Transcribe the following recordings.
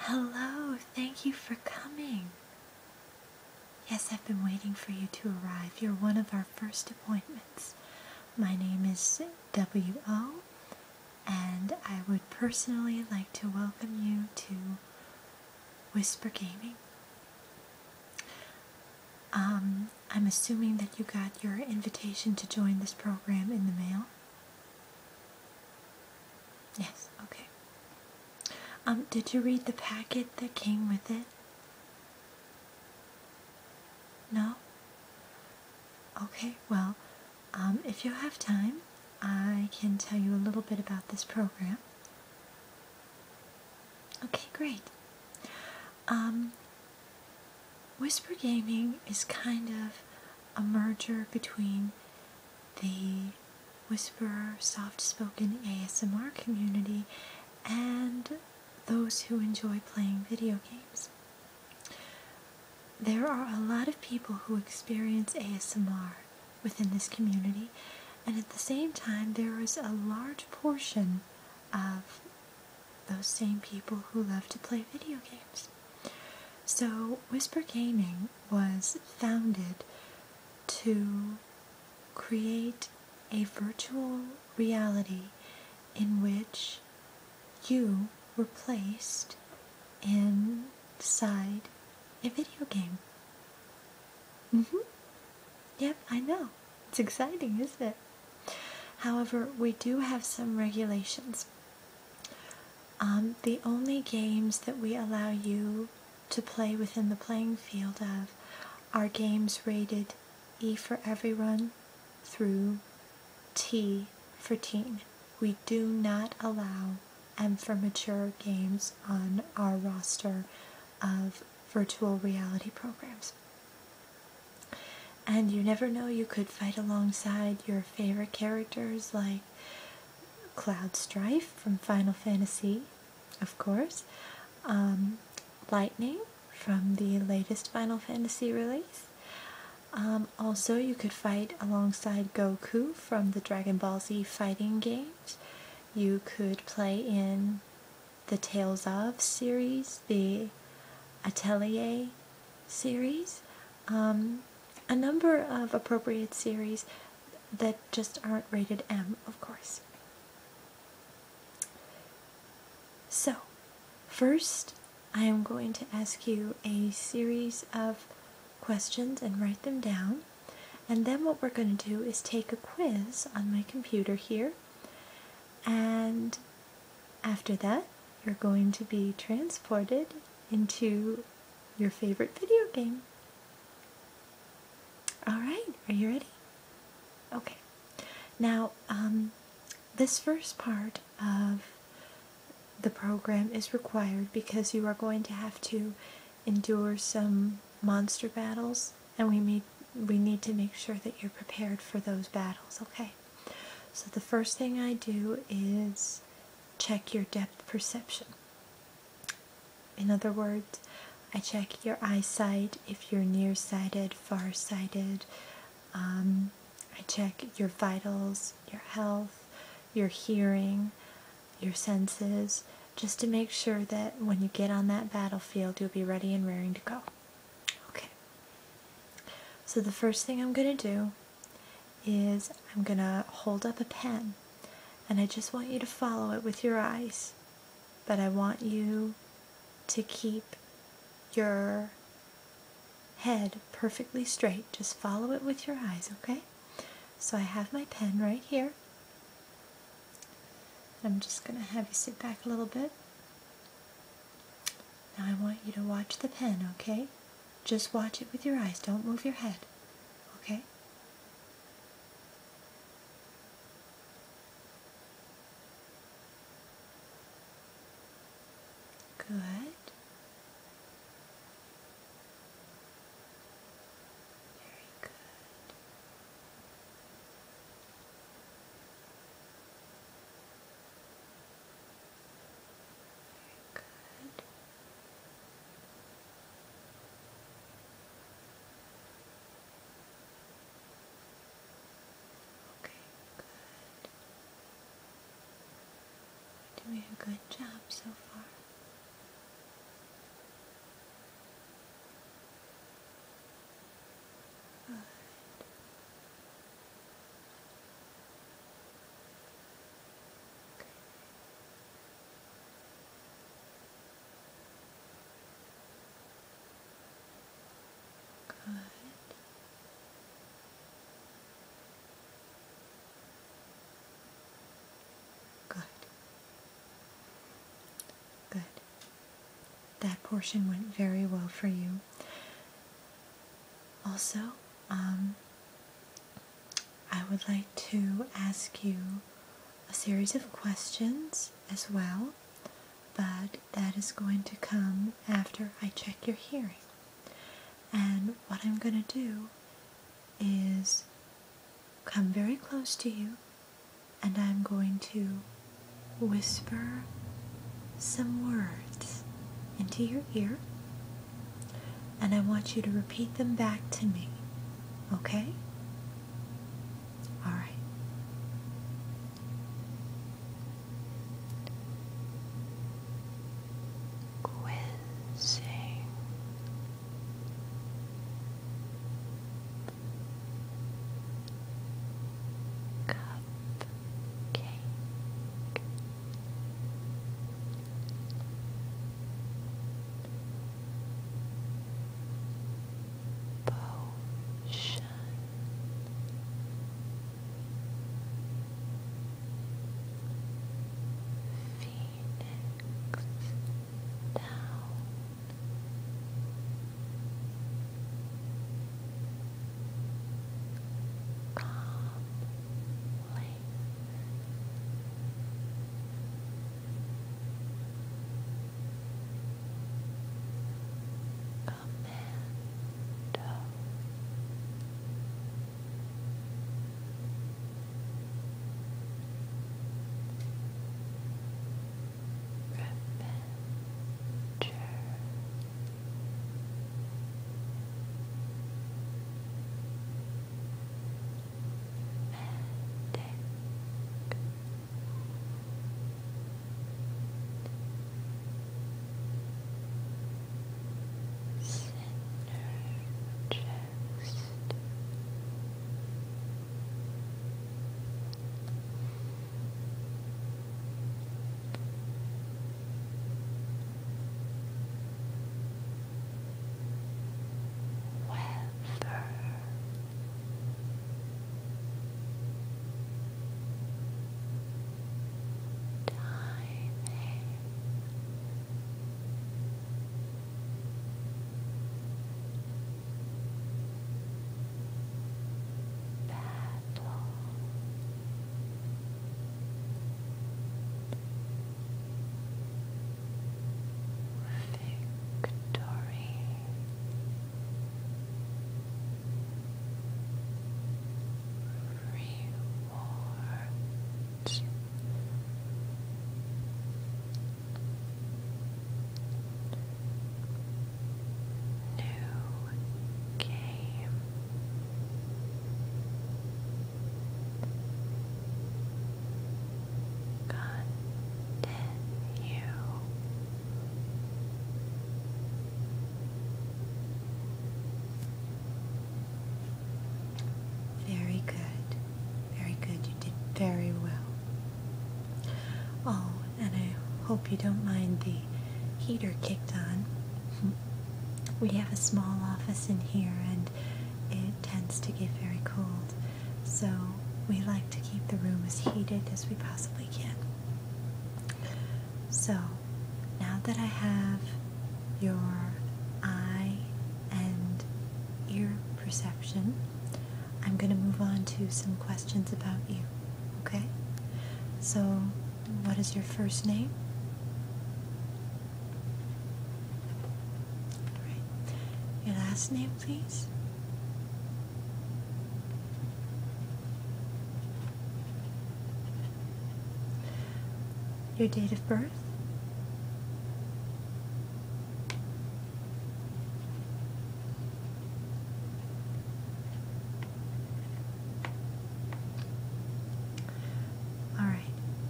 Hello, thank you for coming. Yes, I've been waiting for you to arrive. You're one of our first appointments. My name is W.O., and I would personally like to welcome you to Whisper Gaming. Um, I'm assuming that you got your invitation to join this program in the mail. Yes, okay. Um, did you read the packet that came with it? No? Okay, well, um, if you have time, I can tell you a little bit about this program. Okay, great. Um, Whisper Gaming is kind of a merger between the Whisperer soft spoken ASMR community and those who enjoy playing video games. There are a lot of people who experience ASMR within this community, and at the same time, there is a large portion of those same people who love to play video games. So, Whisper Gaming was founded to create a virtual reality in which you were placed inside a video game. Mm-hmm. Yep, I know. It's exciting, isn't it? However, we do have some regulations um, the only games that we allow you to play within the playing field of are games rated E for everyone through T for teen. We do not allow M for mature games on our roster of virtual reality programs and you never know you could fight alongside your favorite characters like Cloud Strife from Final Fantasy, of course, um, Lightning from the latest Final Fantasy release. Um, also, you could fight alongside Goku from the Dragon Ball Z fighting games. You could play in the Tales of series, the Atelier series. Um, a number of appropriate series that just aren't rated M, of course. So, first, I am going to ask you a series of questions and write them down. And then, what we're going to do is take a quiz on my computer here. And after that, you're going to be transported into your favorite video game. All right, are you ready? Okay. Now, um, this first part of the program is required because you are going to have to endure some monster battles, and we need we need to make sure that you're prepared for those battles. Okay so the first thing I do is check your depth perception. In other words, I check your eyesight if you're nearsighted, farsighted. Um, I check your vitals, your health, your hearing, your senses, just to make sure that when you get on that battlefield, you'll be ready and raring to go. Okay. So the first thing I'm going to do is I'm going to hold up a pen and I just want you to follow it with your eyes. But I want you to keep your head perfectly straight. Just follow it with your eyes, okay? So I have my pen right here. I'm just going to have you sit back a little bit. Now I want you to watch the pen, okay? Just watch it with your eyes. Don't move your head, okay? Good. Very good. Very good. Okay, good. We're doing a good job so far. Good. Good. Good. Good. That portion went very well for you. Also, um, I would like to ask you a series of questions as well, but that is going to come after I check your hearing. And what I'm going to do is come very close to you and I'm going to whisper some words into your ear and I want you to repeat them back to me. Okay? All right. Quizzing. Cup cake. Potion. Phoenix down calmly. Commando. Revenger. Magic. Synergist weather. Timing. Battle victory. Rewards. New game Continue. Very good. Very good. You did very well. Oh, and I hope you don't mind the heater kicked on. We have a small office in here and it tends to get very cold, so we like to keep the room as heated as we possibly can. So, now that I have your eye and ear perception, I'm going to move on to some questions about you, okay? So, what is your first name? Your last name, please. Your date of birth? All right.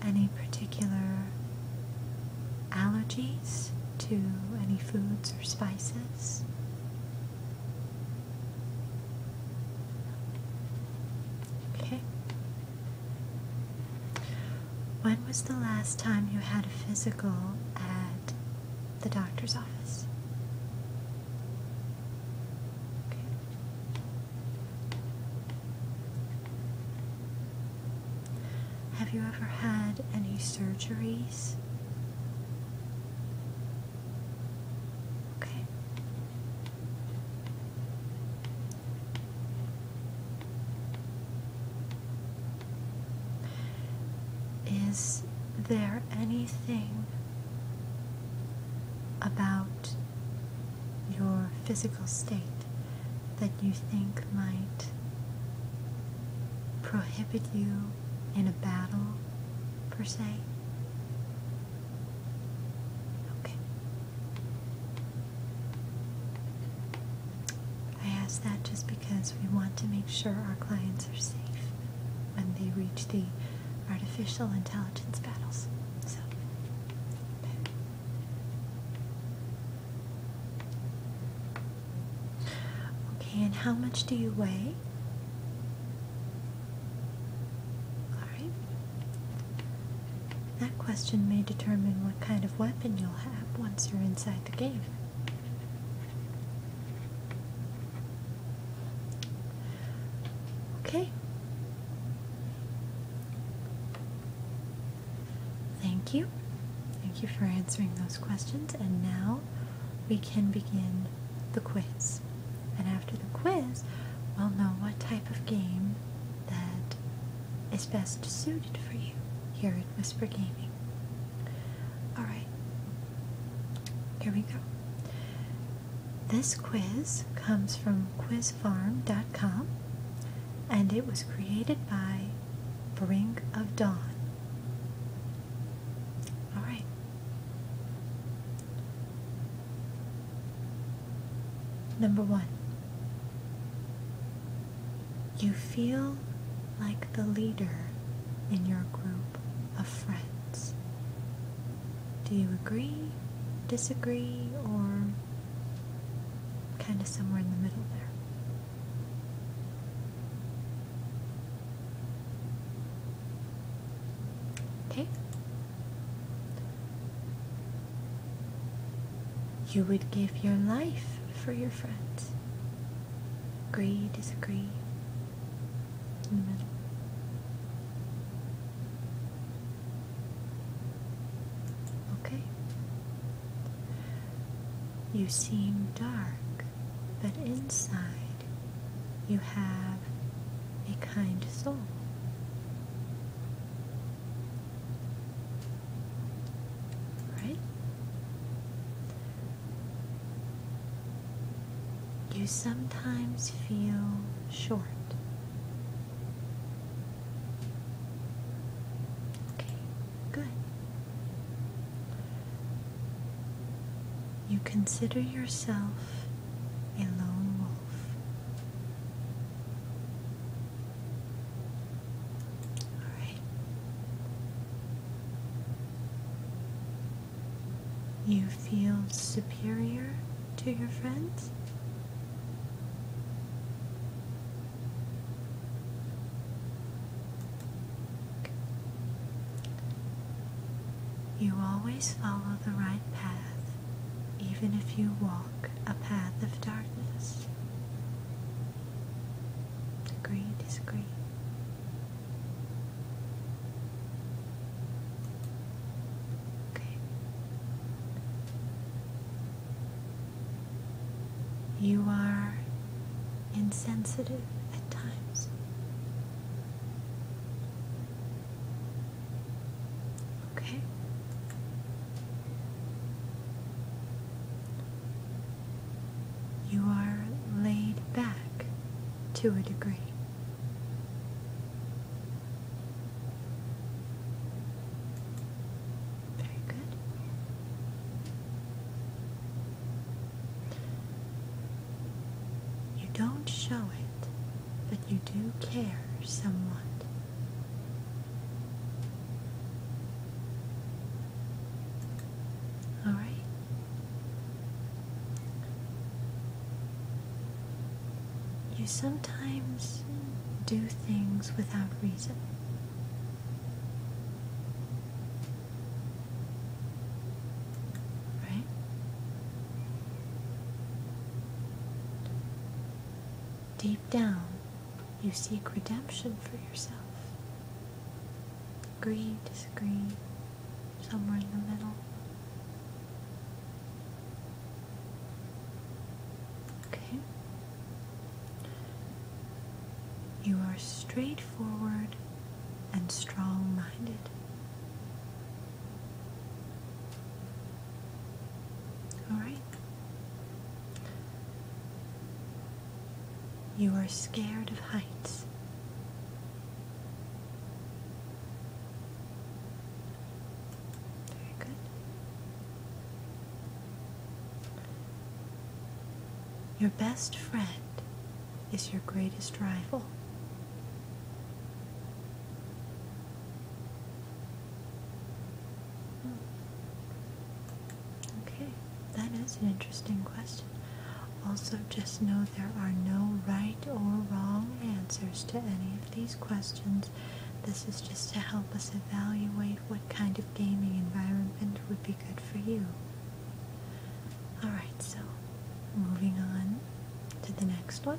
Any particular allergies to any foods or spices? Okay. When was the last time you had a physical at the doctor's office? Okay. Have you ever had any surgeries? Okay. Is there anything about your physical state that you think might prohibit you in a battle, per se? Okay. I ask that just because we want to make sure our clients are safe when they reach the artificial intelligence battles. okay. and how much do you weigh? Alright. That question may determine what kind of weapon you'll have once you're inside the game. Okay. Thank you. Thank you for answering those questions. And now we can begin the quiz. And after the quiz, we'll know what type of game that is best suited for you here at Whisper Gaming. Alright, here we go. This quiz comes from quizfarm.com and it was created by Brink of Dawn. All right. Number one. You feel like the leader in your group of friends. Do you agree, disagree, or Kind of somewhere in the middle there. Okay. You would give your life for your friends. Agree, disagree. In the middle. Okay. You seem dark, but inside you have a kind soul. Right? You sometimes feel short Okay, good. You consider yourself a lone wolf. All right. You feel superior to your friends? You always follow the right path, even if you walk a path of darkness. Agree, disagree. You are insensitive at times. Okay. You are laid back to a degree. Very good. You don't show it, but you do care somewhat. All right. You sometimes do things without reason. Right? Deep down, you seek redemption for yourself. is disagree, somewhere in the middle. Okay. You are straightforward and strong minded. All right. You are scared of heights. Very good. Your best friend is your greatest rival. Hmm. Okay, that is an interesting question. Also, just know there are no right or wrong answers to any of these questions. This is just to help us evaluate what kind of gaming environment would be good for you. Alright, so moving on to the next one,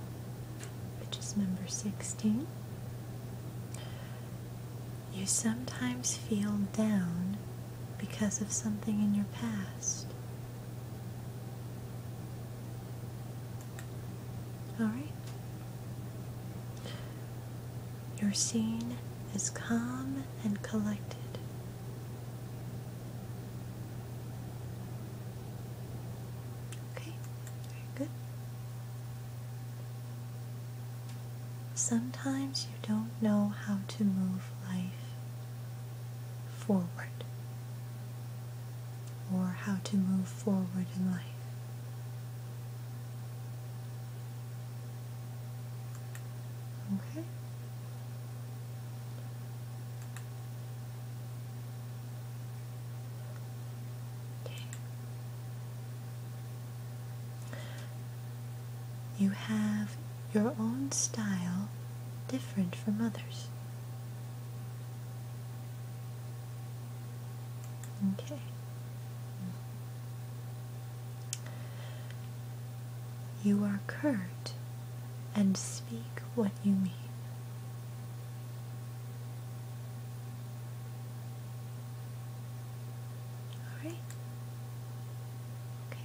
which is number 16. You sometimes feel down because of something in your past. All right. Your scene is calm and collected. Okay, very good. Sometimes you don't know how to move life forward or how to move forward in life. Okay? Okay. You have your own style different from others. Okay. You are curt and speak what you mean. All right. Okay.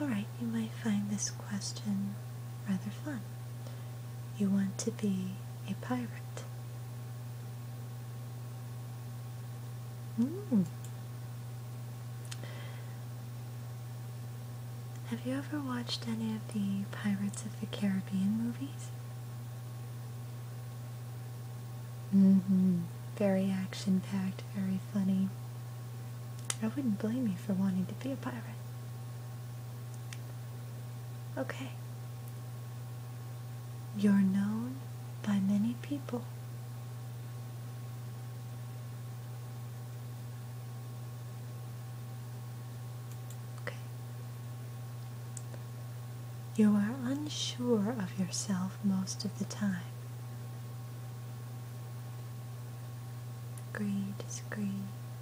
Alright, you might find this question rather fun. You want to be a pirate. Hmm. Have you ever watched any of the Pirates of the Caribbean movies? Mm-hmm. Very action-packed, very funny. I wouldn't blame you for wanting to be a pirate. Okay. You're known by many people. Okay. You are unsure of yourself most of the time. Gray, disagree,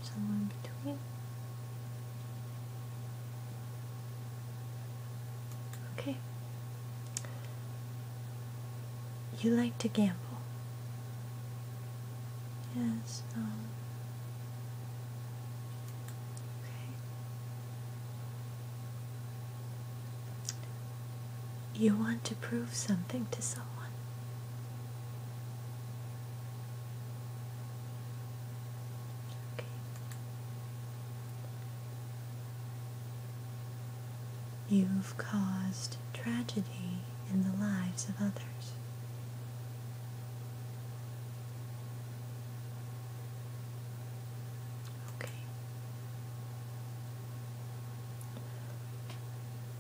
somewhere in between. Okay. You like to gamble. Yes, um, Okay you want to prove something to someone. You've caused tragedy in the lives of others. Okay.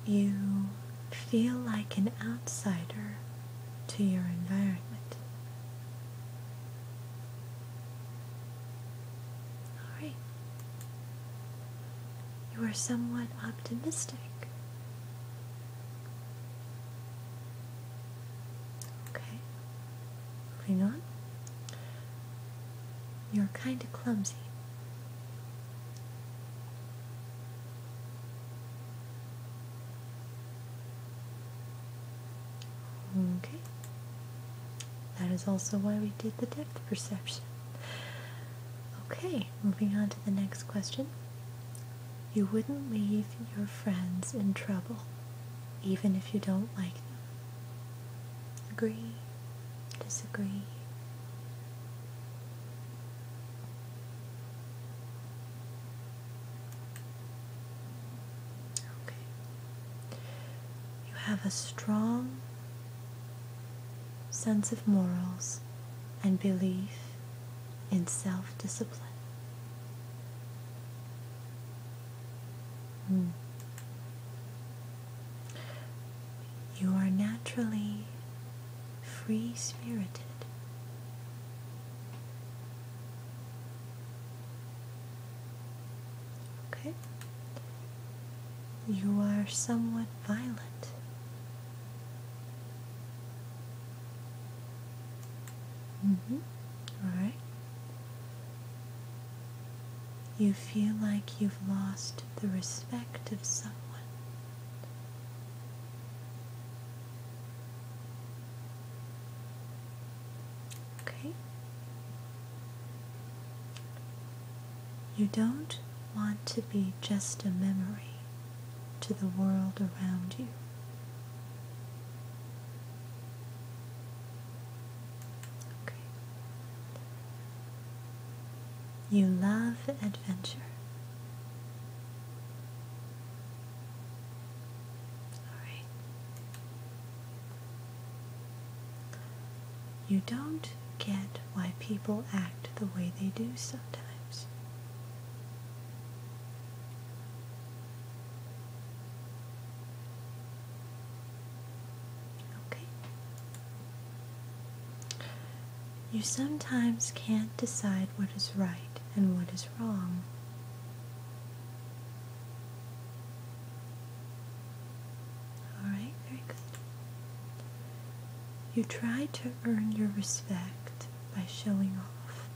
You feel like an outsider to your environment. All right. You are somewhat optimistic. Okay. Moving on. You're kind of clumsy. Okay. That is also why we did the depth perception. Okay, moving on to the next question. You wouldn't leave your friends in trouble, even if you don't like them. Agree? disagree. Okay. You have a strong sense of morals and belief in self discipline. Hmm. You are naturally free spirited. Okay? You are somewhat violent. Mm-hmm. Alright. You feel like you've lost the respect of someone. You don't want to be just a memory to the world around you. You love adventure. All right. You don't get why people act the way they do sometimes. Okay. You sometimes can't decide what is right and what is wrong. Alright, very good. You try to earn your respect by showing off.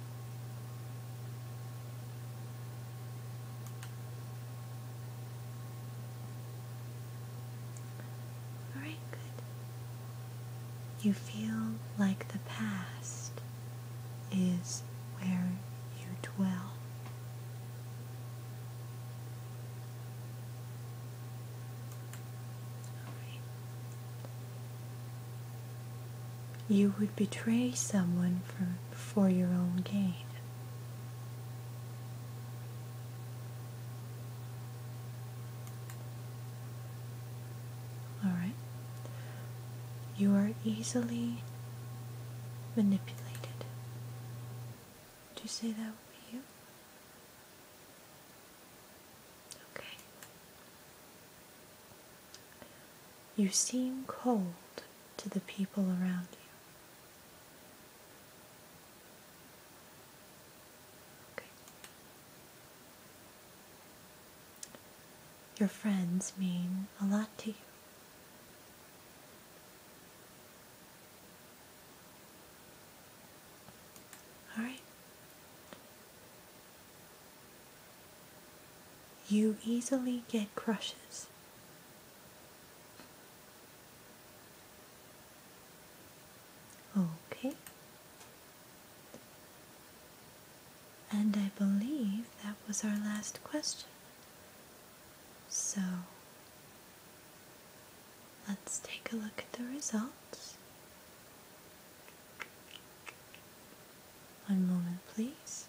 Alright, you feel like the past is where you dwell. You would betray someone for, for your own gain. Alright? You are easily manipulated. Would you say that with you? Okay. You seem cold to the people around you. Your friends mean a lot to you. All right. You easily get crushes. Okay. And I believe that was our last question. So let's take a look at the results. One moment, please.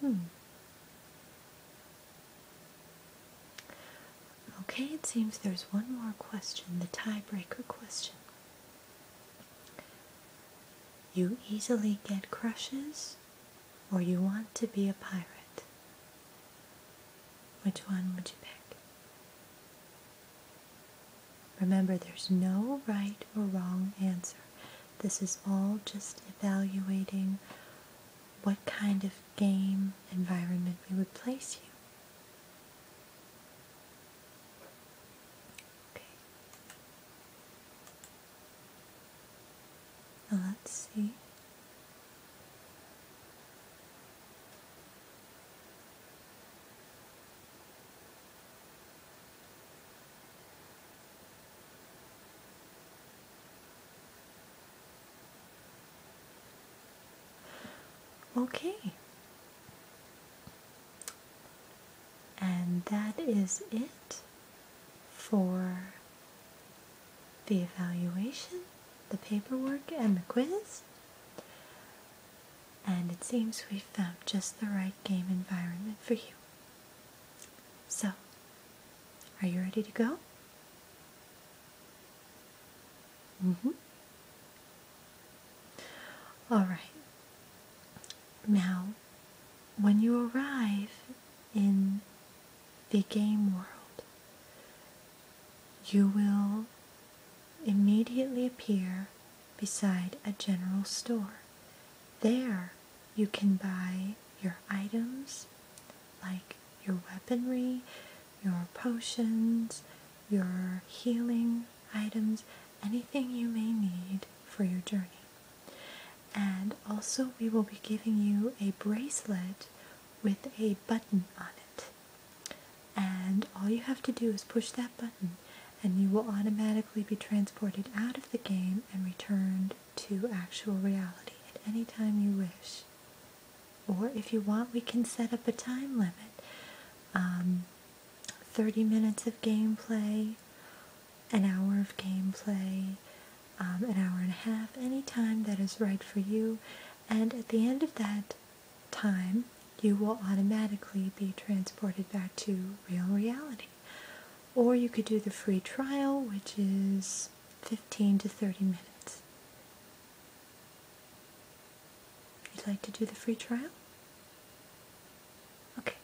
Hmm. Okay, it seems there's one more question, the tiebreaker question. You easily get crushes, or you want to be a pirate? Which one would you pick? Remember, there's no right or wrong answer. This is all just evaluating what kind of game environment we would place you. Okay. let's see. Okay. And that is it for the evaluation, the paperwork, and the quiz and it seems we've found just the right game environment for you. So, are you ready to go? Mm-hmm. All right. Now, when you arrive in the game world, you will immediately appear beside a general store. There you can buy your items like your weaponry, your potions, your healing items, anything you may need for your journey. And also, we will be giving you a bracelet with a button on it. And all you have to do is push that button, and you will automatically be transported out of the game and returned to actual reality at any time you wish. Or if you want, we can set up a time limit. Um, 30 minutes of gameplay, an hour of gameplay, um, an hour and a half, any time that is right for you. And at the end of that time, you will automatically be transported back to real reality. Or you could do the free trial, which is 15 to 30 minutes. You'd like to do the free trial? Okay.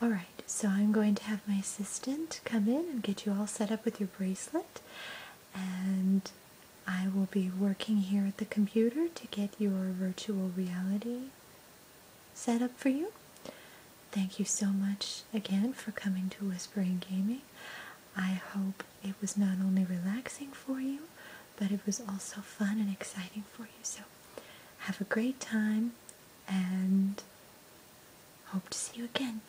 All right, so I'm going to have my assistant come in and get you all set up with your bracelet. And I will be working here at the computer to get your virtual reality set up for you. Thank you so much again for coming to Whispering Gaming. I hope it was not only relaxing for you, but it was also fun and exciting for you. So have a great time and hope to see you again.